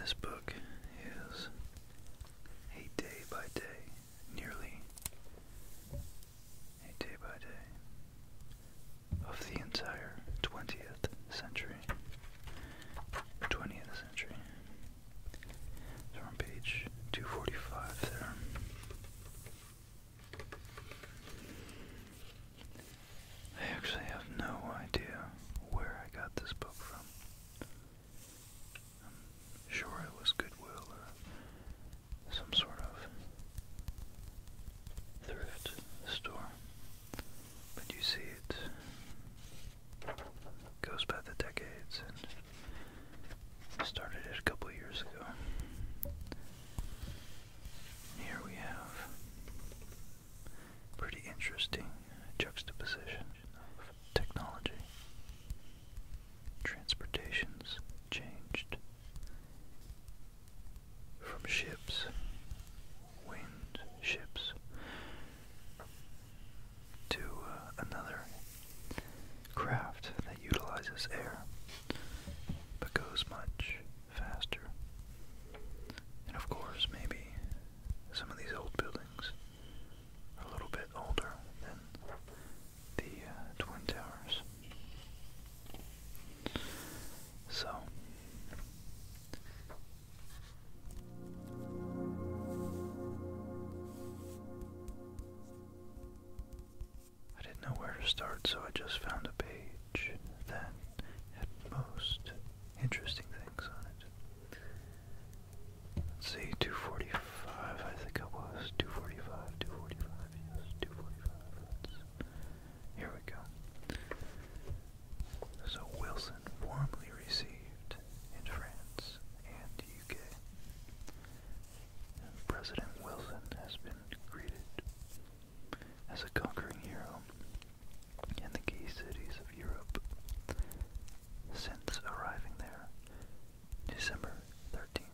This book is a day by day, nearly a day by day of the entire 20th century. 20th century. So page 245 there. I actually have no idea where I got this book from. sure it was Goodwill or some sort of thrift store. But you see, it goes by the decades and started it a couple years ago. Here we have pretty interesting juxtaposition of technology. Transportation's changed from ships, wind ships, to uh, another craft utilizes air but goes much faster. And of course, maybe some of these old buildings are a little bit older than the uh, Twin Towers. So. I didn't know where to start, so I just found a page that had most interesting things on it. Let's see, 245, I think it was. 245, 245, yes, 245. here we go. So Wilson warmly received in France and UK. President Wilson has been greeted as a conquering hero in the gay cities of Europe. Since arriving there, December thirteenth,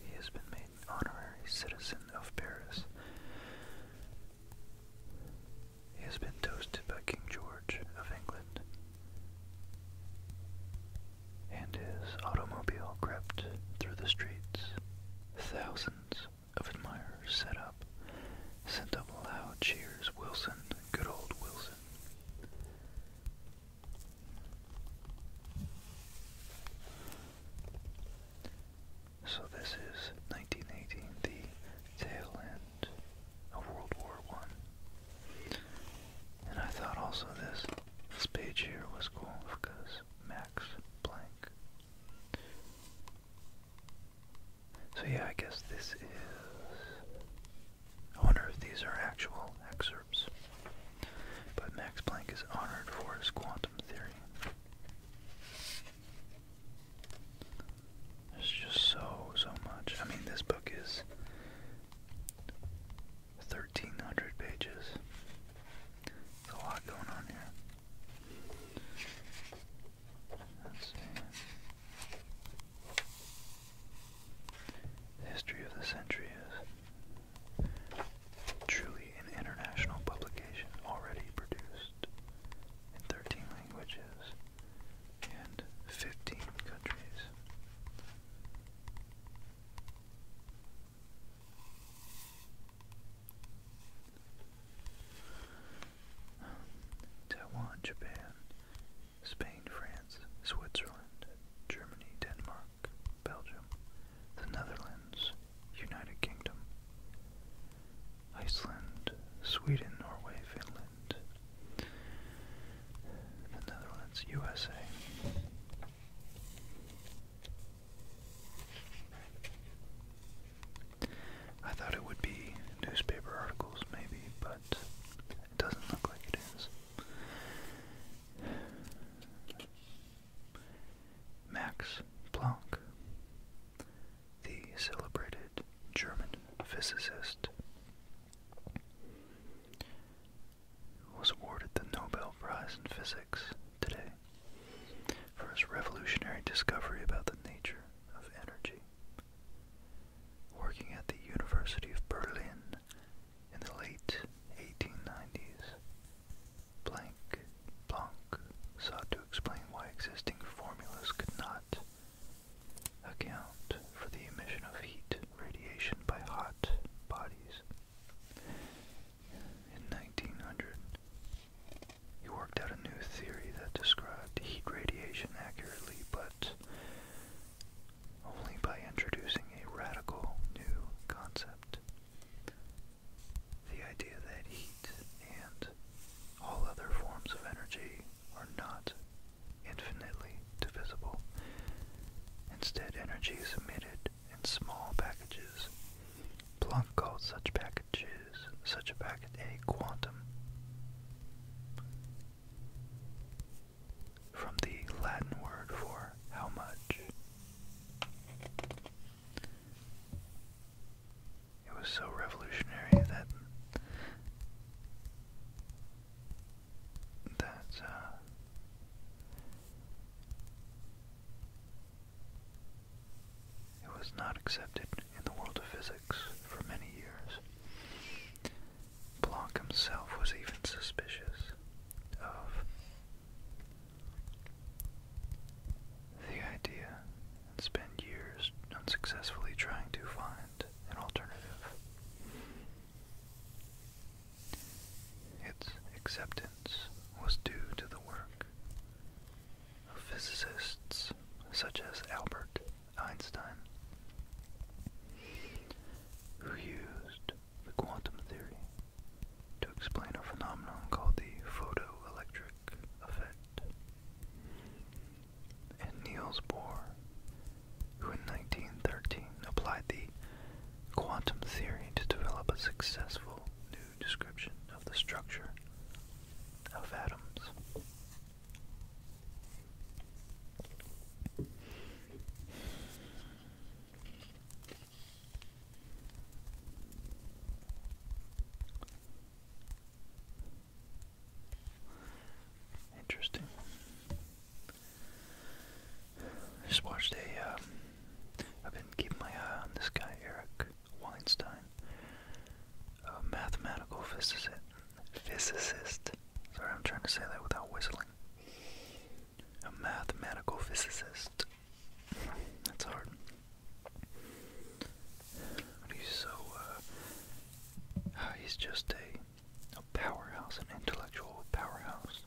he has been made an honorary citizen of Paris. He has been toasted by King George of England and his automobile crept through the streets. Thousands of admirers set up, sent up loud cheers. Wilson, good old Wilson. So this is 1918, the tail end of World War One. And I thought also this this page here was cool because Max Blank. So yeah, I guess this is. I wonder if these are actual excerpts. But Max Planck is honored for his quantum theory. There's just so, so much. I mean, this book is 1,300 pages. There's a lot going on here. history of the century is truly an international publication already produced in 13 languages and 15 countries. Taiwan, Japan, Spain, France, Switzerland, Germany, Denmark, Belgium, the Netherlands, United Kingdom, Iceland, Sweden, Norway, Finland, the Netherlands, USA. I thought it would be newspaper articles, maybe, but it doesn't look like it is. Max Planck, the celebrated German physicist, was awarded the Nobel Prize in Physics today for his revolutionary discovery about the nature of energy. Working at the University of Berlin in the late 1890s, Blank sought to explain why existing formulas could not account for the emission of heat radiation by hot bodies. In 1900, he worked out a new theory that described heat radiation accurately, but only by introducing a radical new concept. The idea that heat and all other forms of energy are not infinitely divisible. Instead, energy is emitted in small packages. Planck called such packages, such a package a quantum. From the Latin word for how much. It was so revolutionary that that uh, it was not accepted in the world of physics for many years. Planck himself was even suspicious of the idea and spent years unsuccessfully trying to find find an alternative. Its acceptance was due to the work of physicists such as Albert Einstein, who used the quantum theory to explain a phenomenon called the photoelectric effect. And Niels Bohr who in 1913 applied the quantum theory to develop a successful new description of the structure of atoms. Interesting. I just watched a. Um, have been keeping my eye this guy, Eric Weinstein, a mathematical physicist. Physicist. Sorry, I'm trying to say that without whistling. A mathematical physicist. That's hard. he's so. Uh, he's just a a powerhouse, an intellectual powerhouse.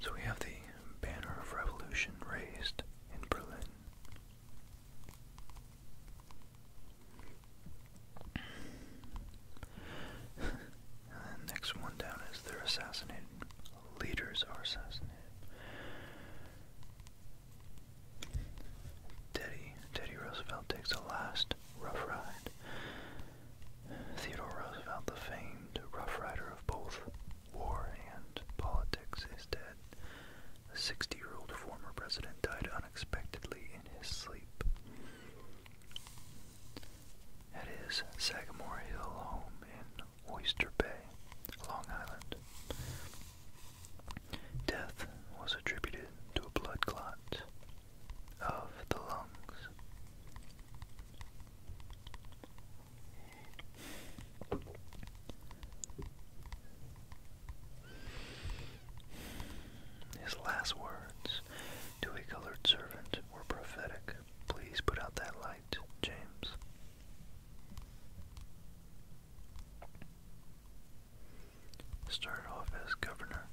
So we have the banner of revolution raised in Berlin. and next one down is they're assassinated. Leaders are assassinated. Teddy, Roosevelt takes a last rough ride. Theodore Roosevelt, the famed rough rider of both war and politics, is dead. The 60-year-old former president died unexpectedly in his sleep. At his Sagamore Hill home in Oyster Bay, Long Island. Death was attributed to a blood clot of the lungs. His last words to a colored servant were prophetic. Please put out that light, James started off as governor.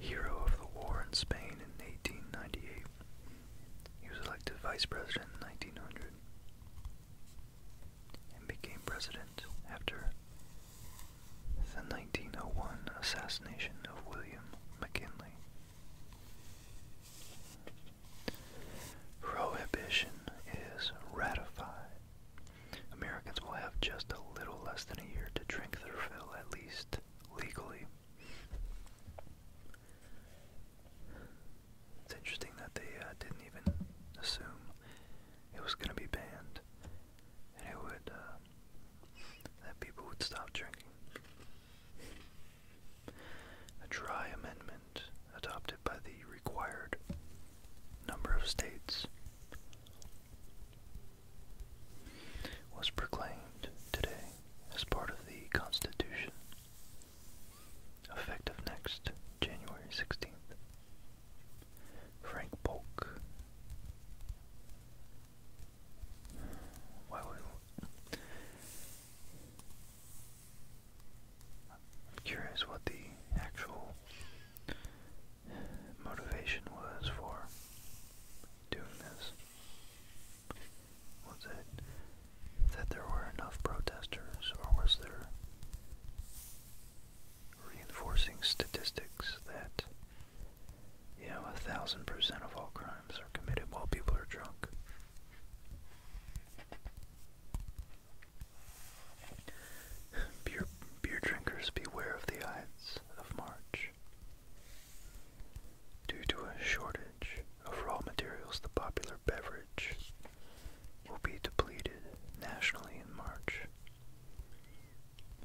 Hero of the War in Spain in 1898. He was elected vice president in 1900 and became president after the 1901 assassination of William McKinley. Prohibition is ratified. Americans will have just a little less than a year to drink their fill, at least legally. It's interesting that they uh, didn't even assume it was going to be banned, and it would uh, that people would stop drinking a dry amendment adopted by the required number of states, was proclaimed today as part of the Constitution, effective next January 16th. Frank Polk. Why would I'm curious what the actual motivation was for doing this. Was it that there were enough protesters, or was there reinforcing statistics that, you know, a thousand percent of all crimes are committed while people are drunk? Beer, beer drinkers beware of the Ides of March. Due to a shortage of raw materials, the popular beverage will be depleted nationally in March,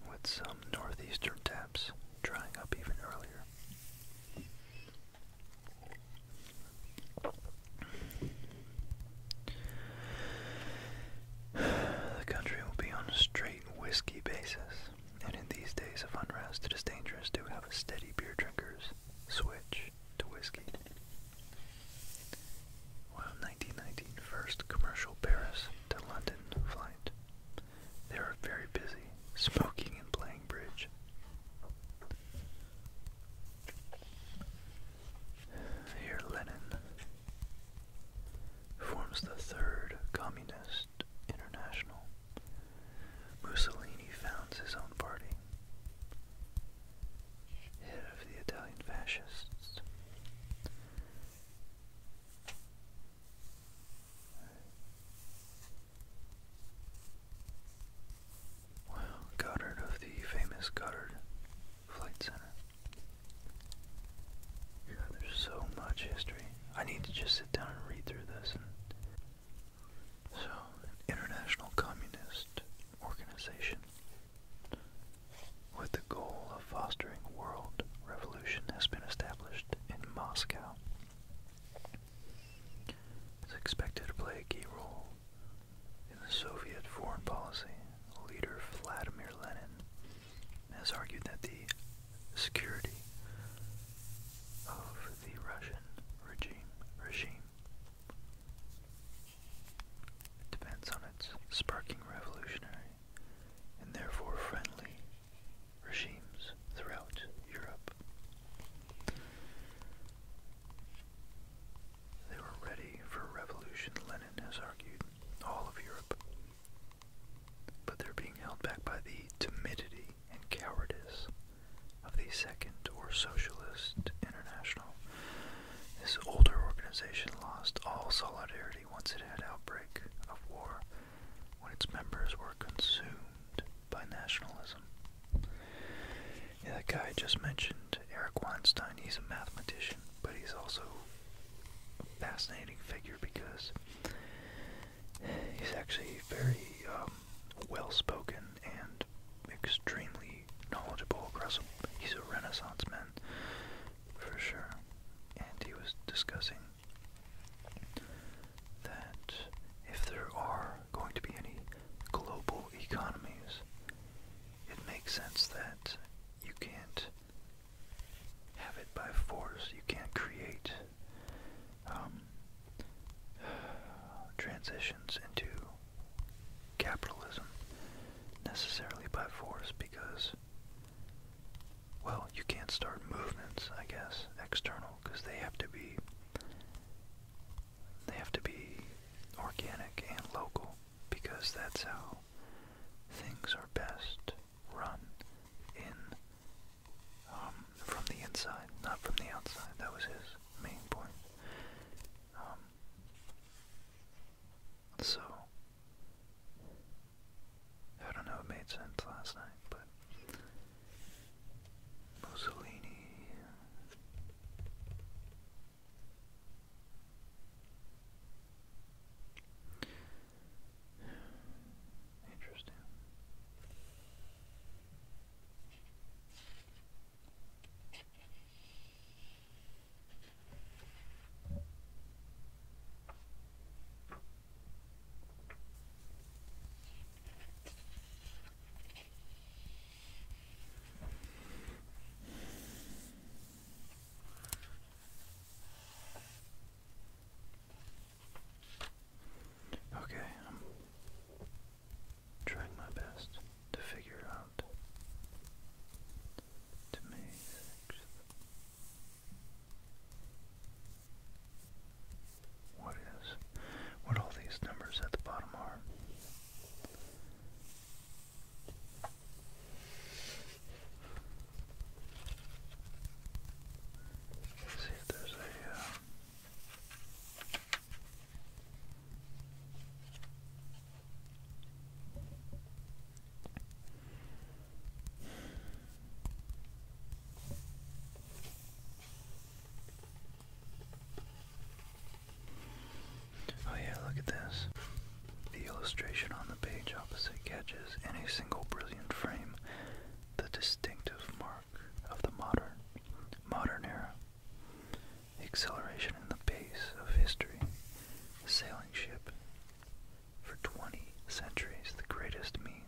with some northeastern taps drying up even earlier. The country will be on a straight whiskey basis, and in these days of unrest, it is dangerous to have a steady beer drinkers switch to whiskey. While 1919 commercial Paris to London flight, they were very busy smoking and playing bridge. Here Lenin forms the Third Communist International. Mussolini founds his own party, head of the Italian fascists. Well, Goddard of the famous Goddard Flight Center. there's so much history. I need to just sit down and read through this. so, an international communist organization with the goal of fostering world revolution has been established in Moscow. It's expected to play a key role in the Soviet foreign policy. Leader Vladimir Lenin has argued that the security of the Russian regime depends on its sparking revolutionary and therefore friendly regimes throughout Europe. They were ready for revolution, Lenin has argued, all of Europe. But they're being held back by the timidity and cowardice of the Second or Socialist International. This older organization lost all solidarity once it had outbreak of war, when its members were consumed by nationalism. Yeah, that guy I just mentioned, Eric Weinstein, he's a mathematician, but he's also a fascinating figure because he's actually very um, well spoken and extremely knowledgeable across. He's a Renaissance man for sure, and he was discussing that if there are going to be any global economies, it makes sense that you can't have it by force. You can't create um, transitions into capitalism necessarily by force because, well, you can't start movements, I guess, external because they have to be they have to be organic and local because that's how things are best run in um, from the inside, not from the outside. That was his main point. Um, so, I don't know, it made sense last night, but Mussolini. Interesting. Okay, I'm trying my best to figure out to me what is what all these numbers at the bottom are. see if there's a. Uh, Oh yeah, look at this. The illustration on the page opposite catches any single brilliant frame the distinctive mark of the modern modern era. The acceleration in the pace of history. The sailing ship. For twenty centuries the greatest means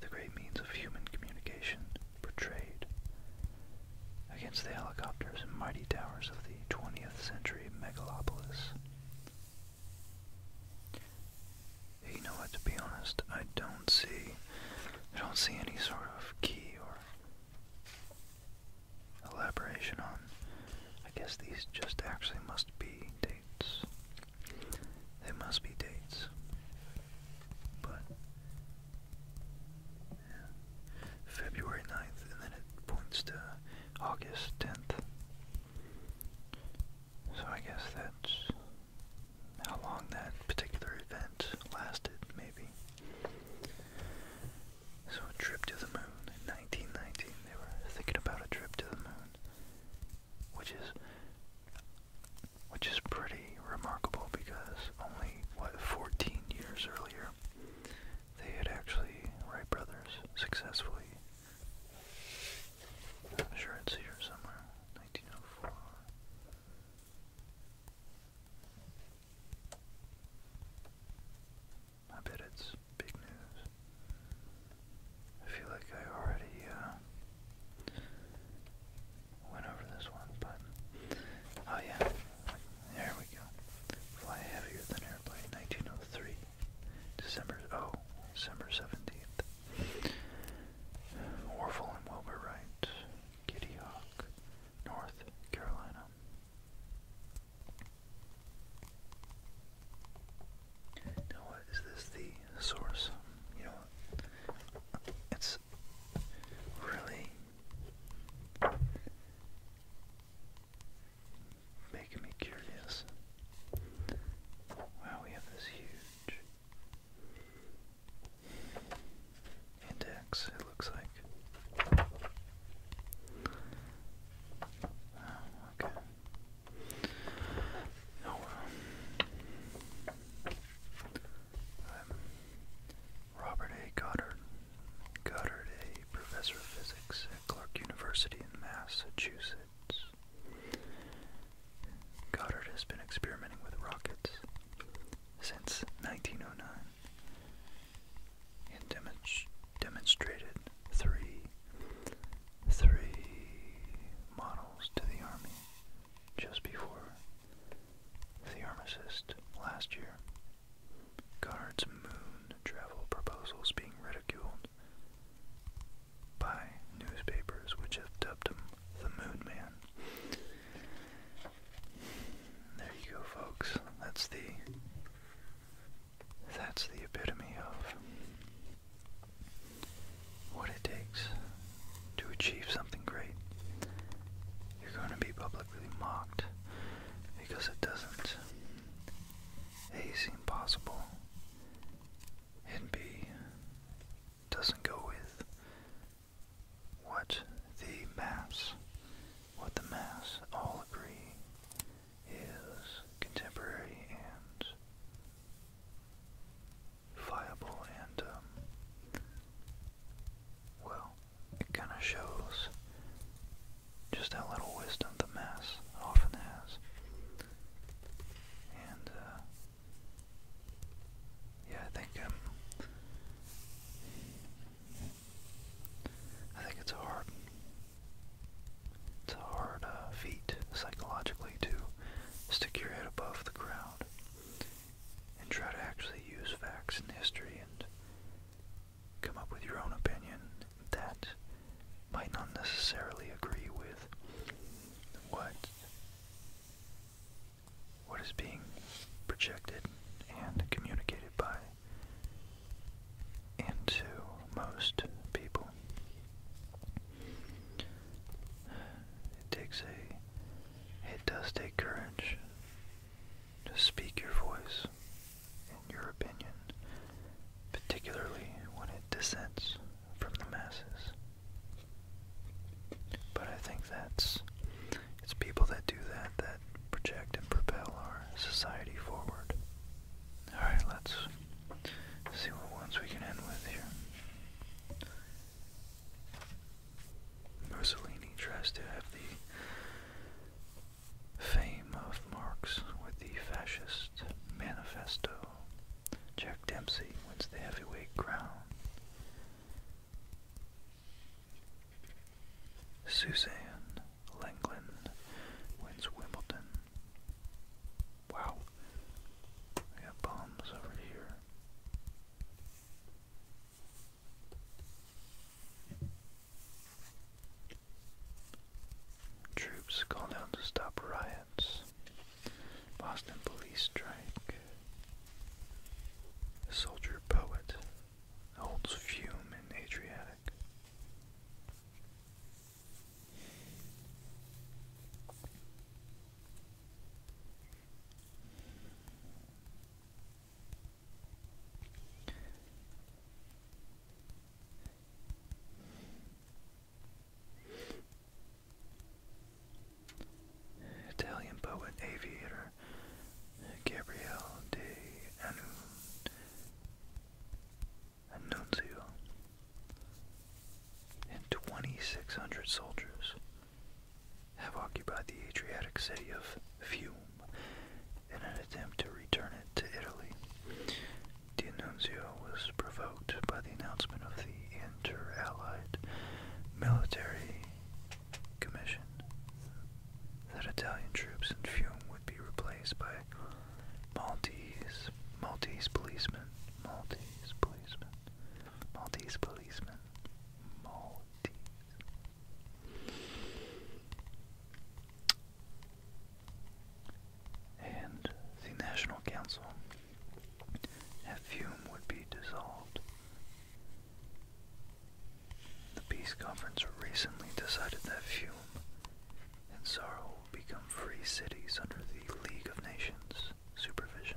the great means of human communication, portrayed Against the helicopters and mighty towers of the 20th century megalopolis. You know what, to be honest, I don't see, I don't see any sort of key or elaboration on, I guess these just actually must be dates. They must be dates. But February 9th, and then it points to August 10th. So I guess that's how long that particular event lasted, maybe. So a trip to the moon in 1919. They were thinking about a trip to the moon which is which is pretty remarkable because only what 14 years earlier they had actually Wright brothers successfully. I'm sure it's here somewhere. 1904. I bet it's big news. I feel like I already uh, went over this one, but oh yeah, there we go. Fly heavier than airplane, 1903, December oh December 17th. Orville and Wilbur Wright, Kitty Hawk, North Carolina. Now what is this the source? You know it's really making me curious. Wow, we have this huge index, it looks like. Oh, okay. Oh I'm Robert A. Goddard. Goddard, a professor of physics at Clark University in Massachusetts. Goddard has been experimenting with rockets since 1909 and demonstrated three, three models to the Army just before the armistice last year. Goddard's moon travel proposals being ridiculed by newspapers which have dubbed him the Moon Man. There you go, folks. That's the that's the epitome of what it takes to achieve something great, you're going to be publicly mocked because it doesn't A seem possible and B doesn't go with what the mass, what the mass all agree is contemporary and viable and, um, well, it kind of shows just how little wisdom the mass often has. And, uh, yeah, I think, um, I think it's a hard, it's a hard uh, feat psychologically to stick your head above the ground and try to actually use facts and history and come up with your own opinion that might not necessarily agree with what what is being projected and communicated by and to most people. It takes a, it does take courage to speak your voice and your opinion, particularly when it dissents from the masses. But I think that's, it's people that do that that project and propel our society forward. Alright, let's see what ones we can end with here. Mussolini tries to have the fame of Marx with the fascist manifesto. Jack Dempsey wins the heavyweight crown. Suzanne Langland wins Wimbledon. Wow. We got bombs over here. Troops called out to stop riots. Boston police strike. soldier poet holds fume in Adriatic. Italian poet aviator Gabriele de Annunzio and 2,600 soldiers have occupied the Adriatic city of Fiume in an attempt to return it to Italy. D'Annunzio was provoked by the announcement of the Inter-Allied Military Commission that Italian troops in Fiume would be replaced by Maltese, policemen, Maltese policemen. Maltese policemen, Maltese. And the National Council at would be dissolved. The Peace Conference recently decided that Fiume and Sorrow become free cities under the League of Nations supervision.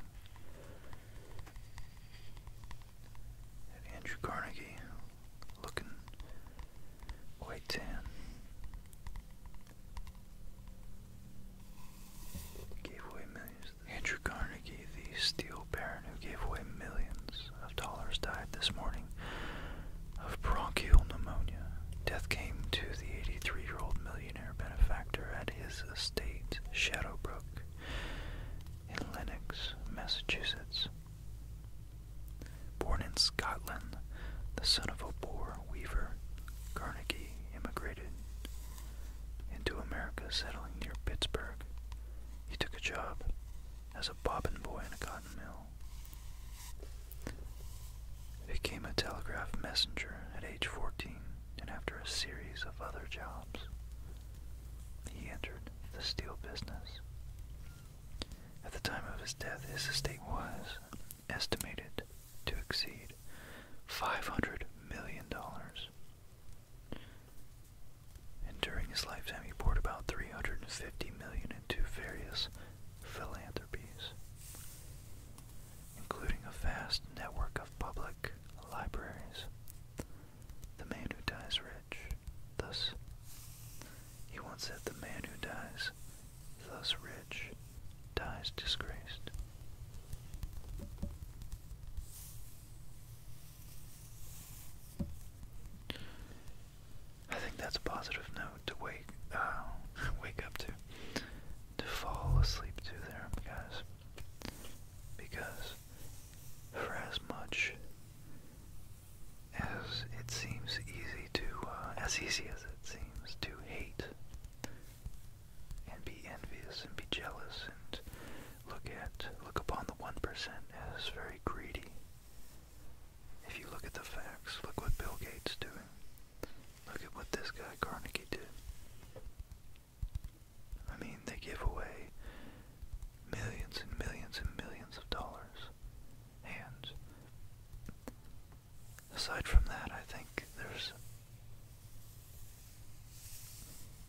Andrew Carnegie looking quite tan. Gave away millions. Andrew Carnegie, the steel baron who gave away millions of dollars, died this morning of bronchial pneumonia. Death came to the 83 year old millionaire millionaire benefactor at his estate, Shadowbrook, in Lenox, Massachusetts. Born in Scotland, the son of a poor weaver, Carnegie immigrated into America, settling near Pittsburgh. He took a job as a bobbin boy in a cotton mill became a telegraph messenger at age 14 and after a series of other jobs he entered the steel business. At the time of his death his estate was estimated to exceed 500 million dollars. And during his lifetime he poured about 350 million into various philanthropies including a vast network of public libraries. The man who dies rich, thus, he once said, the man who dies thus rich dies disgraced. I think that's a positive note to wake uh, wake up to to fall asleep to there, guys. Because for as much as it seems easy to, uh, as easy as it seems to hate and be envious and be jealous and look at, look upon the 1% as very greedy. If you look at the facts, look what Bill Gates doing. Look at what this guy Carnegie did. I mean, they give away millions and millions and millions of dollars. And aside from that, I think there's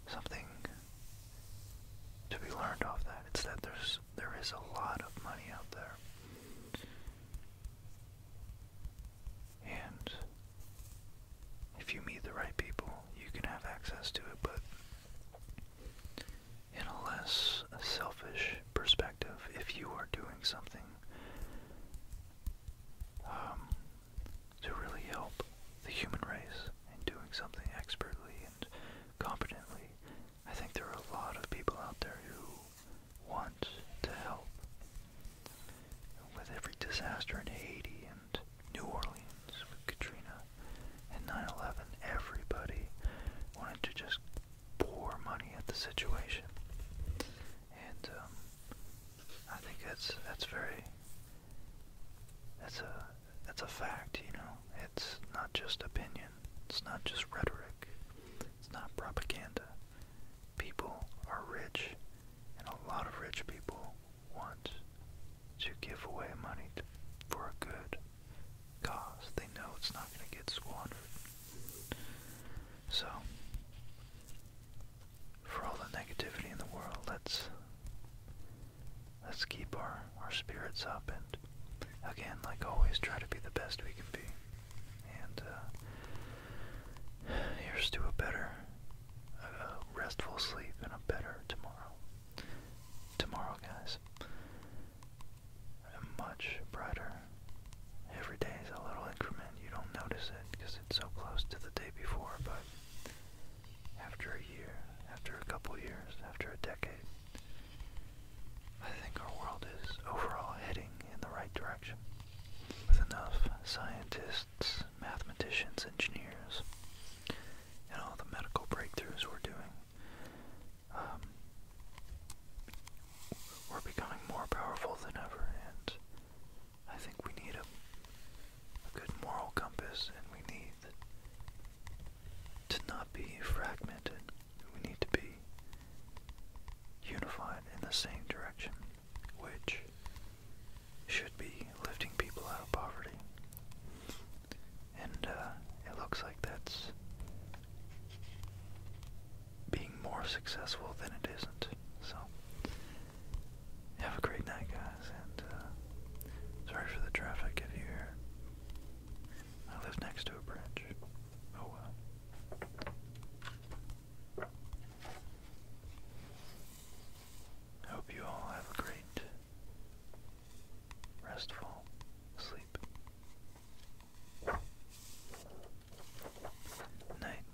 something to be learned off that. It's that there's there is a lot of money out there. And if you meet the right people, you can have access to it, but in a less selfish perspective, if you are doing something um, to really help the human race and doing something expertly and competently, I think there are a lot of people out there who wants to help. With every disaster in Haiti and New Orleans with Katrina and 9 11, everybody wanted to just pour money at the situation. And um, I think that's, that's very, that's a, that's a fact, you know. It's not just opinion, it's not just rhetoric, it's not propaganda people are rich, and a lot of rich people want to give away money for a good cause. They know it's not going to get squandered. So, for all the negativity in the world, let's let's keep our our spirits up and again, like always, try to be the best we can be. And uh, Here's to a better, a restful sleep and a better tomorrow. Tomorrow, guys, a much brighter. Every day is a little increment. You don't notice it because it's so close to the day before, but after a year, after a couple years, after a decade, I think our world is overall heading in the right direction. With enough scientists, mathematicians, engineers, and all the medical breakthroughs we're doing, um, we're becoming more powerful than ever, and I think we need a good moral compass, and we need to not be fragmented. We need to be unified in the same direction, which should be lifting people out of poverty. And uh, it looks like that's being more successful than it isn't. So, have a great night, guys, and uh, sorry for the traffic if you hear it. I live next to a bridge. Oh well. I Hope you all have a great, restful sleep. Night.